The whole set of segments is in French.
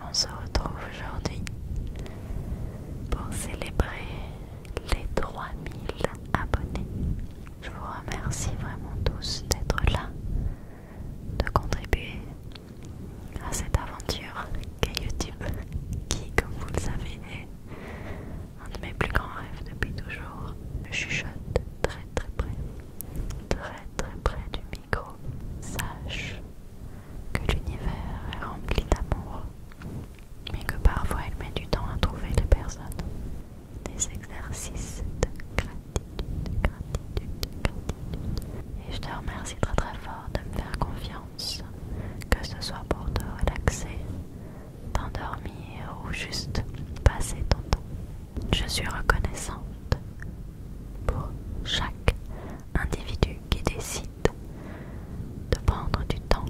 On se retrouve aujourd'hui pour célébrer les 3000 abonnés. Je vous remercie vraiment tous d'être là, de contribuer à cette aventure qu'est YouTube, qui, comme vous le savez, est un de mes plus grands rêves depuis toujours. Je chuchote très très près, très très près du sache que l'univers est rempli d'amour, mais que parfois il met du temps à trouver les personnes. Des exercices de gratitude, gratitude, gratitude. Et je te remercie très très fort de me faire confiance, que ce soit pour te relaxer, t'endormir ou juste passer ton temps. Je suis reconnaissante pour chaque individu qui décide de prendre du temps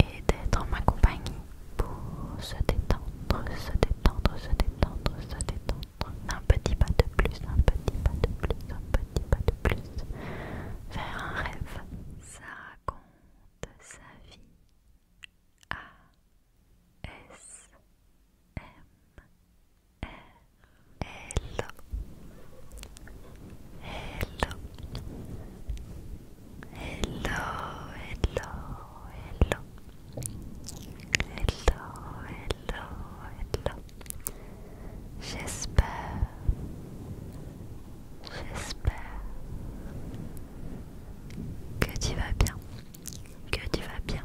et d'être en ma compagnie pour se détendre, se détendre, se détendre, se détendre. Un petit pas de plus, un petit pas de plus, un petit pas de plus vers un rêve. Ça raconte sa vie. A S M Hello. Hello. Hello, hello, hello. Hello, hello, hello. J'espère. J'espère que tu vas bien. Que tu vas bien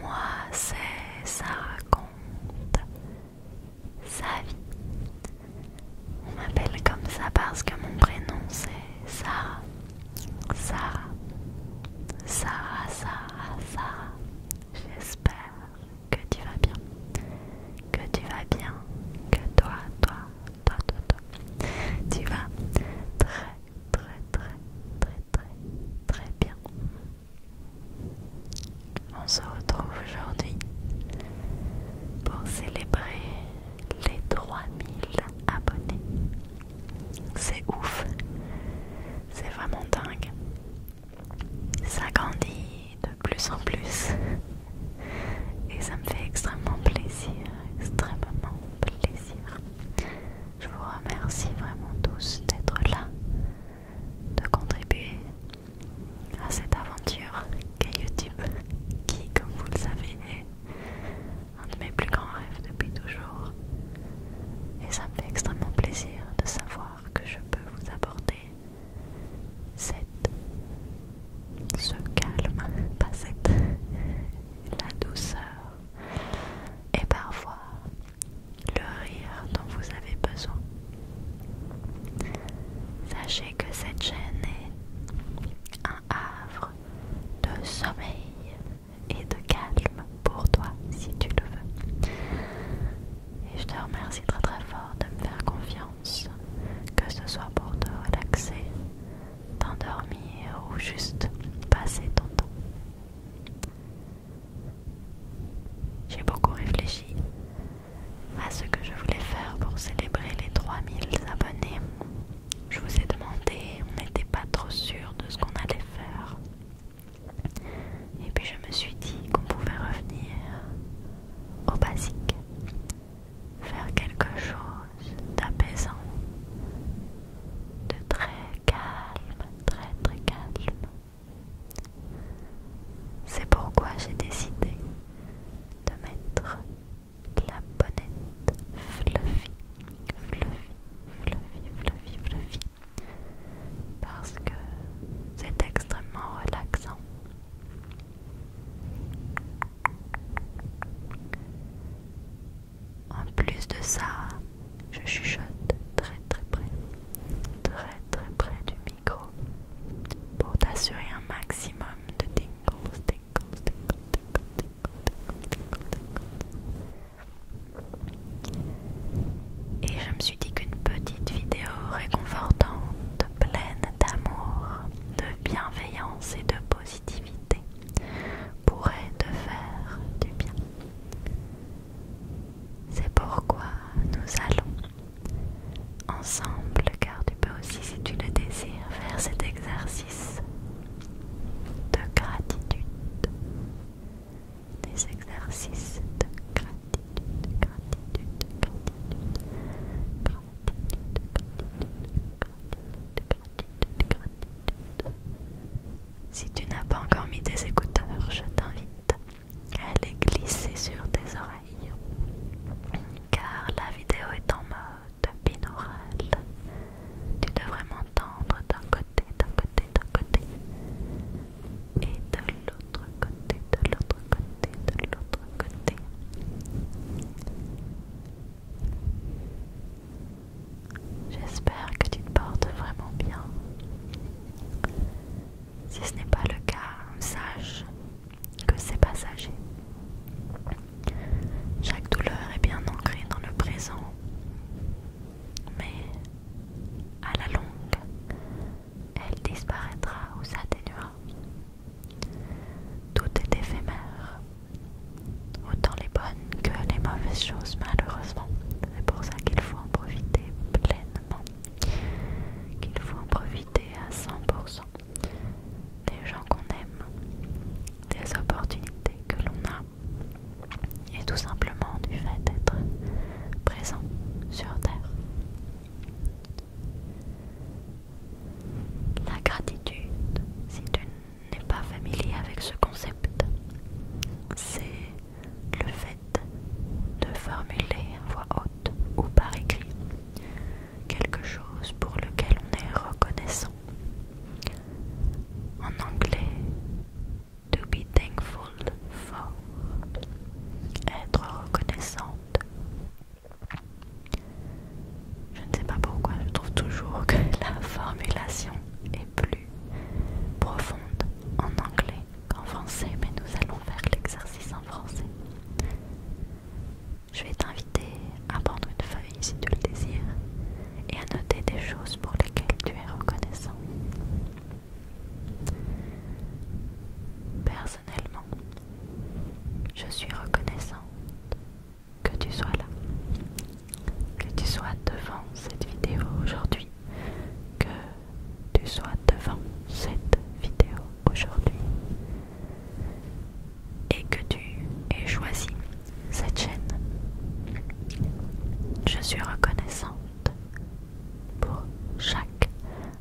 Moi, c'est ça raconte sa vie. On m'appelle comme ça parce que mon prénom c'est Sarah. Sarah. Sarah, Sarah, Sarah. J'espère que tu vas bien. Que tu vas bien. Que toi, toi, toi, toi, toi. Tu vas très très très très très très bien. On se retrouve aujourd'hui pour célébrer les 3000 abonnés. C'est ouf, c'est vraiment dingue. Ça grandit de plus en plus et ça me fait extrêmement plaisir, extrêmement plaisir. Je vous remercie vraiment tous d'être là, de contribuer à cette aventure qu'est YouTube, qui, comme vous le savez, est un de mes plus grands rêves depuis toujours. Et ça me fait extrêmement plaisir de savoir que je peux vous apporter cette, ce calme, pas cette, la douceur et parfois le rire dont vous avez besoin. Sachez que cette chaîne est un havre de sommeil et de calme pour toi si tu le veux. Et je te remercie très très fort de me faire confiance, que ce soit pour te relaxer t'endormir ou juste passer ton temps. J'ai beaucoup réfléchi à ce que je voulais faire pour célébrer les 3000 abonnés. Je vous ai demandé, on n'était pas trop sûr de ce qu'on allait faire. Et puis je me suis dit qu'on pouvait revenir au basique, faire quelque chose d'apaisant, de très calme, très très calme. C'est pourquoi j'ai décidé de mettre la bonnette fluffy, fluffy, fluffy, fluffy, fluffy, parce que c'est extrêmement relaxant. En plus de ça, je chuchote très très près, très très près du micro pour t'assurer un maximum de tingles, tingles, tingles, tingles, tingles, tingles, tingles. Et je me suis dit qu'une petite vidéo réconfortante, pleine d'amour, de bienveillance et de positivité pourrait te faire du bien. C'est pourquoi nous allons ensemble, car tu peux aussi, si tu le désires, faire cet exercice de gratitude. Des exercices de gratitude, gratitude, gratitude, gratitude, gratitude. gratitude. Si tu n'as pas encore mis tes écouteurs, je t'invite à les glisser sur tes oreilles, car la vidéo est en mode binaural. Tu devrais m'entendre d'un côté, d'un côté, d'un côté, et de l'autre côté, de l'autre côté, de l'autre côté. J'espère que tu te portes vraiment bien. Si ce n'est pas le cas, sache que c'est passager. Chaque douleur est bien ancrée dans le présent, mais à la longue, elle disparaîtra ou s'atténuera. Tout est éphémère. Autant les bonnes que les mauvaises choses, malheureusement. C'est pour ça qu'il faut en profiter pleinement. Qu'il faut en profiter à 100%. Des gens qu'on aime, des opportunités que l'on a, et tout simplement du fait d'être présent sur Terre. La gratitude, c'est une n'est pas familier avec ce concept, c'est le fait de formuler en voix haute ou par écrit quelque chose pour lequel on est reconnaissant. En anglais, to be thankful for, être reconnaissante. Je ne sais pas pourquoi, je trouve toujours que la formulation est plus profonde en anglais qu'en français, mais nous allons faire l'exercice en français. Je vais t'inviter à prendre une feuille si tu le désires et à noter des choses pour lesquelles tu es reconnaissant. Personnellement, je suis reconnaissante que tu sois là, que tu sois devant cette vidéo aujourd'hui, que tu sois devant cette vidéo aujourd'hui et que tu aies choisi cette chaîne. Je suis reconnaissante pour chaque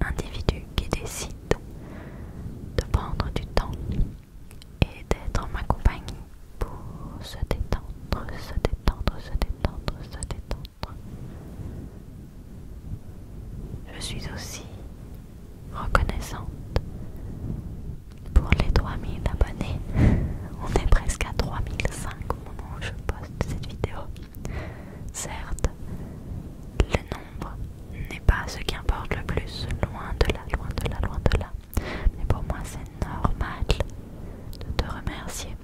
individu qui décide de prendre du temps et d'être en ma compagnie pour se détendre, se détendre, se détendre, se détendre. Je suis aussi reconnaissante pour les 3000 abonnés. On est presque à 3005 au moment où je poste cette vidéo. Certes, le nombre n'est pas ce qui importe le plus, loin de là, loin de là, loin de là. Mais pour moi, c'est normal de te remercier,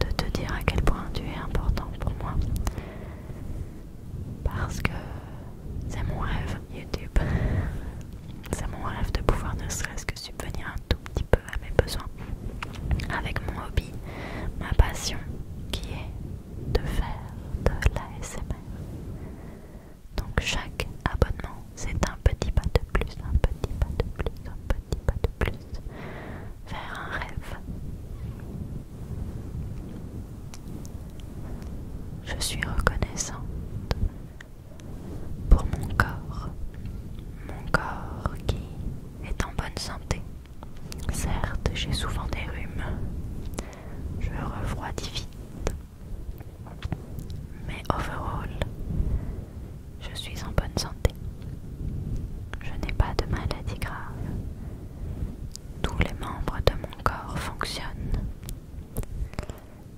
de te dire à quel point tu es important pour moi. Parce que c'est mon rêve, YouTube. C'est mon rêve de pouvoir ne serait-ce que subvenir un tout petit peu à mes besoins. Avec mon hobby, ma passion qui est de faire de l'ASMR. Donc chaque abonnement, c'est un petit pas de plus, un petit pas de plus, un petit pas de plus vers un rêve. Je suis reconnaissante pour mon corps, mon corps qui est en bonne santé. Certes, j'ai souvent des rhumes, je refroidis vite, mais overall, je suis en bonne santé. Je n'ai pas de maladie grave. Tous les membres de mon corps fonctionnent.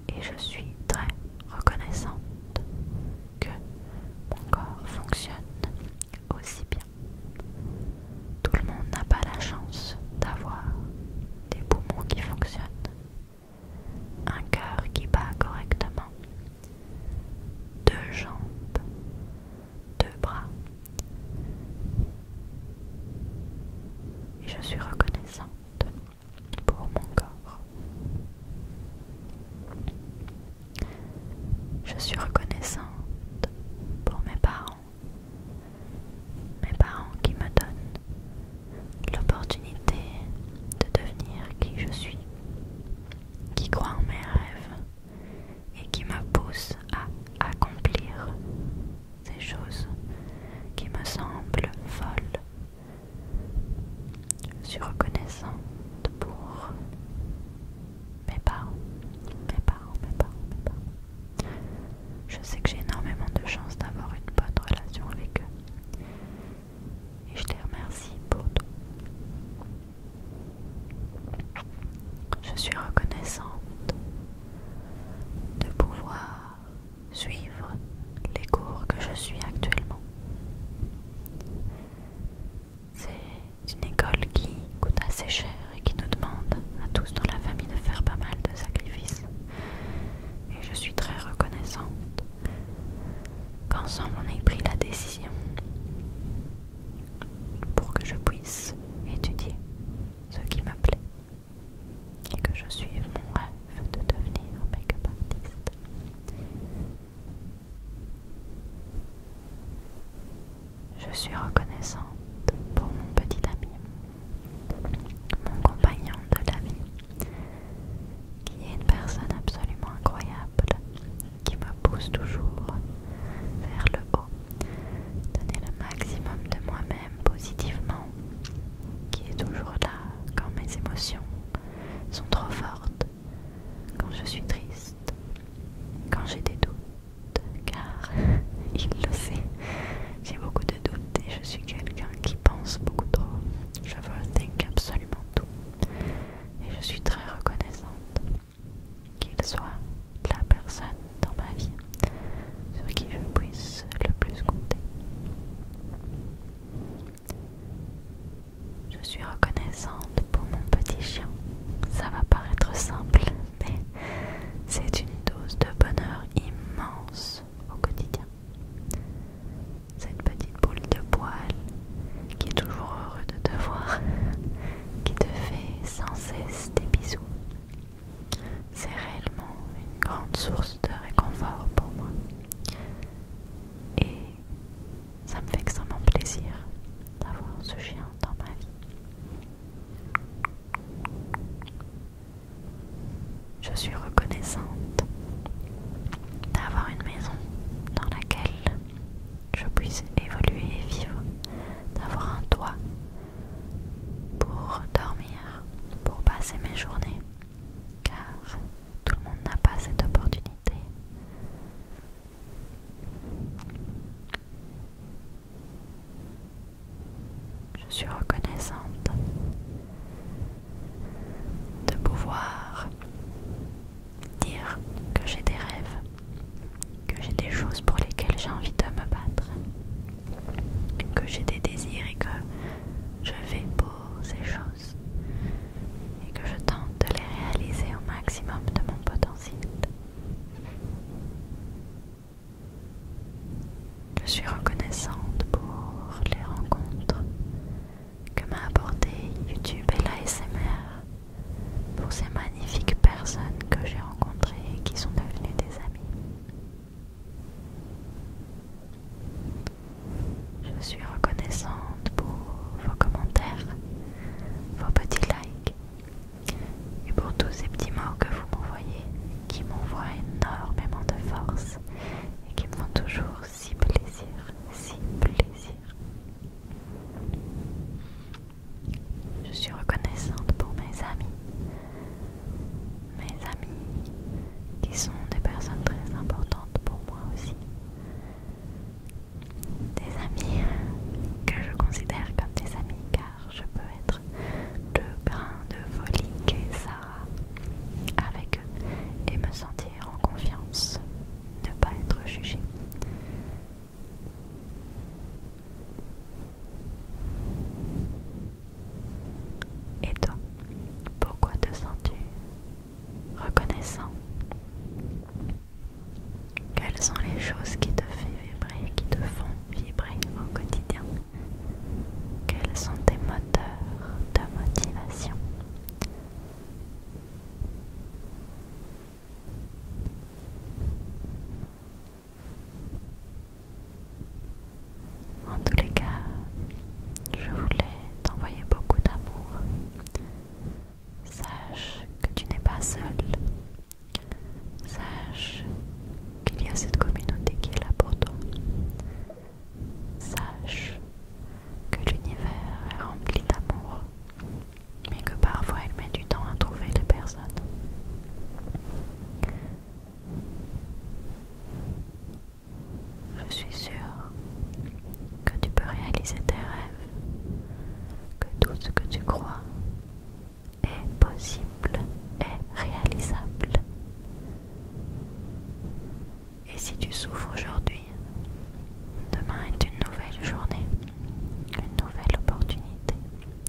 Et je suis très reconnaissante que mon corps fonctionne aussi bien. Tout le monde n'a pas la chance d'avoir des poumons qui fonctionnent un cœur qui bat correctement, deux jambes, deux bras. Et je suis reconnaissante pour mon corps. Je suis reconnaissante pour mes parents, mes parents qui me donnent l'opportunité de devenir qui je suis, qui croient en mes rêves et qui me poussent à accomplir ces choses qui me semblent folles. Je suis reconnaissante pour mes parents, mes parents, mes parents, mes parents. Je sais que j'ai énormément de chance d'avoir une bonne relation avec eux. Et je les remercie pour tout. Je suis reconnaissante de pouvoir suivre les cours que je suis actuellement. C'est une école qui coûte assez cher et qui nous demande à tous dans la famille de faire pas mal de sacrifices et je suis très reconnaissante qu'ensemble on ait pris la décision pour que je puisse étudier ce qui m'appelait et que je suive mon rêve de devenir make-up artiste. Je suis reconnaissante pour mon petit ami mon compagnon de la vie, qui est une personne absolument incroyable, qui me pousse toujours vers le haut, donner le maximum de moi-même positivement, qui est toujours là quand mes émotions sont trop fortes, quand je suis triste, quand j'ai des doutes, car il le sait, j'ai beaucoup de doutes et je suis quelqu'un qui pense beaucoup trop. Je overthink absolument tout. Et je suis très reconnaissante qu'il soit la personne dans ma vie sur qui je puisse le plus compter. Je suis reconnaissante pour mon petit chien. Ça va paraître simple, mais c'est une dose de bonheur immense au quotidien. Cette petite boule de poil qui est toujours heureux de te voir, qui te fait sans cesse des bisous. C'est réellement une grande source de réconfort pour moi. Et ça me fait extrêmement plaisir d'avoir ce chien dans ma vie. Je suis reconnaissante d'avoir une maison dans laquelle je puisse évoluer et vivre, d'avoir un toit pour dormir, pour passer mes journées, car tout le monde n'a pas cette opportunité. Je suis reconnaissante de pouvoir dire que j'ai des rêves, que j'ai des choses pour lesquelles j'ai envie de me battre, que j'ai des désirs et que je vais pour ces choses et que je tente de les réaliser au maximum de mon potentiel. Je suis reconnaissante pour les rencontres que m'a apporté YouTube et l'ASMR pour ces magnifiques personnes que j'ai rencontrées et qui sont devenues des amis. Je suis reconnaissante pour vos commentaires, vos petits likes et pour tous ces petits mots que vous vous qui m'envoient énormément de force et qui me font toujours si plaisir, si plaisir. Je suis reconnaissante pour mes amis, mes amis qui sont des personnes très importantes pour moi aussi, des amis que je considère comme des amis car je peux être de grain de folie et ça avec eux et me sentir en confiance, ne pas être jugé. Et toi, pourquoi te sens-tu reconnaissant Quelles sont les choses qui te font vibrer, qui te font vibrer au quotidien Quels sont tes moteurs de motivation En tous les cas, je voulais t'envoyer beaucoup d'amour. Sache que tu n'es pas seul. Sache qu'il y a cette communauté qui est là pour toi. Sache que l'univers est rempli d'amour, mais que parfois il met du temps à trouver les personnes. Je suis sûre que tu peux réaliser tes rêves, que tout ce que tu crois est possible et réalisable. Et si tu souffres aujourd'hui, demain est une nouvelle journée, une nouvelle opportunité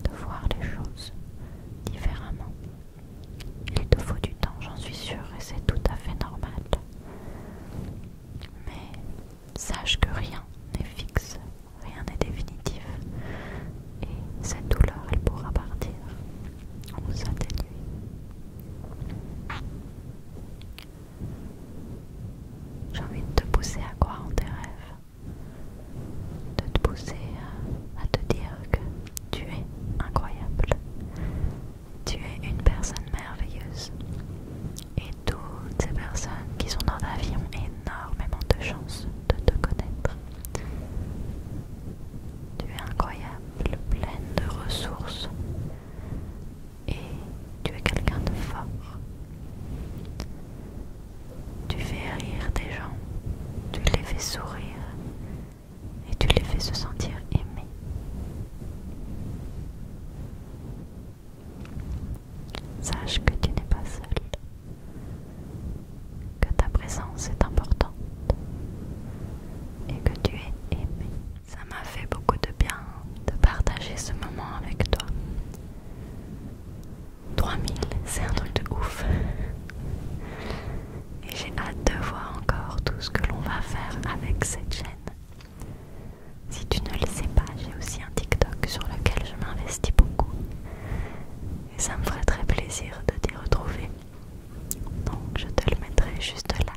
de voir les choses différemment. Il te faut du temps, j'en suis sûre, et c'est tout à fait normal. Mais sache que rien n'est fixe, rien n'est définitif, et cette douleur, elle pourra partir on nuit. J'ai envie de te pousser à croire en tes rêves, de te pousser à, te dire que tu es incroyable, tu es une personne merveilleuse. Et toutes ces personnes qui sont dans ta vie ont énormément de chance de te connaître. Tu es incroyable, pleine de ressources. Et tu es quelqu'un de fort. Tu fais rire des gens, tu les fais sourire et tu les fais se sentir aimés. Sache que tu n'es pas seul que ta présence est importante et que tu es aimé. Ça m'a fait beaucoup de bien de partager ce moment avec toi. 3000, c'est un truc de ouf. Et j'ai hâte de voir encore tout ce que l'on va faire avec cette chaîne. Si tu ne le sais pas, j'ai aussi un TikTok sur lequel je m'investis beaucoup. Et ça me ferait très plaisir de t'y retrouver. Donc je te le mettrai juste là.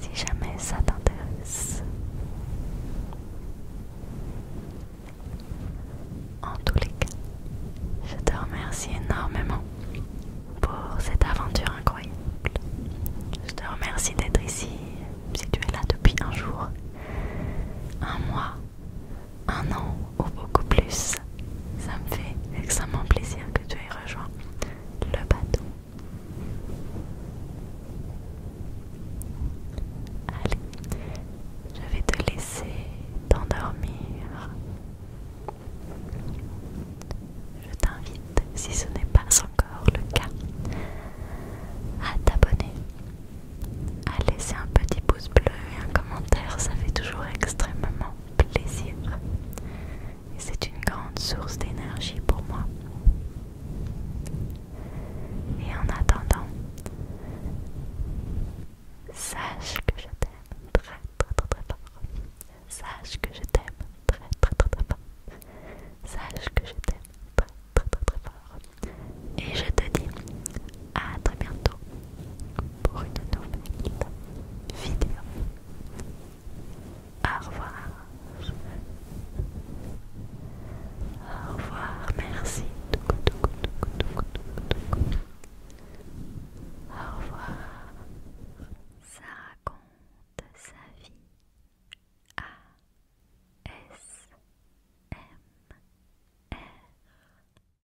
Si jamais ça t'intéresse. En tous les cas, je te remercie énormément pour cette aventure incroyable. Je te remercie d'être ici, si tu es là depuis un jour, un mois, un an ou beaucoup plus, ça me fait extrêmement plaisir que tu aies rejoint le bateau. Allez, je vais te laisser t'endormir. Je t'invite, si ce n'est pas encore le cas, à t'abonner, à laisser un petit pouce bleu et un commentaire, ça fait toujours extrêmement plaisir. c'est une grande source d'énergie pour moi. Et en attendant, sache que je t'aime très très très très fort. Sache que je t'aime très très très très fort. Sache que je t'aime très très très très fort. Et je te dis à très bientôt pour une nouvelle vidéo. Au revoir. Au revoir, merci. Au revoir. Ça raconte sa vie. A S M R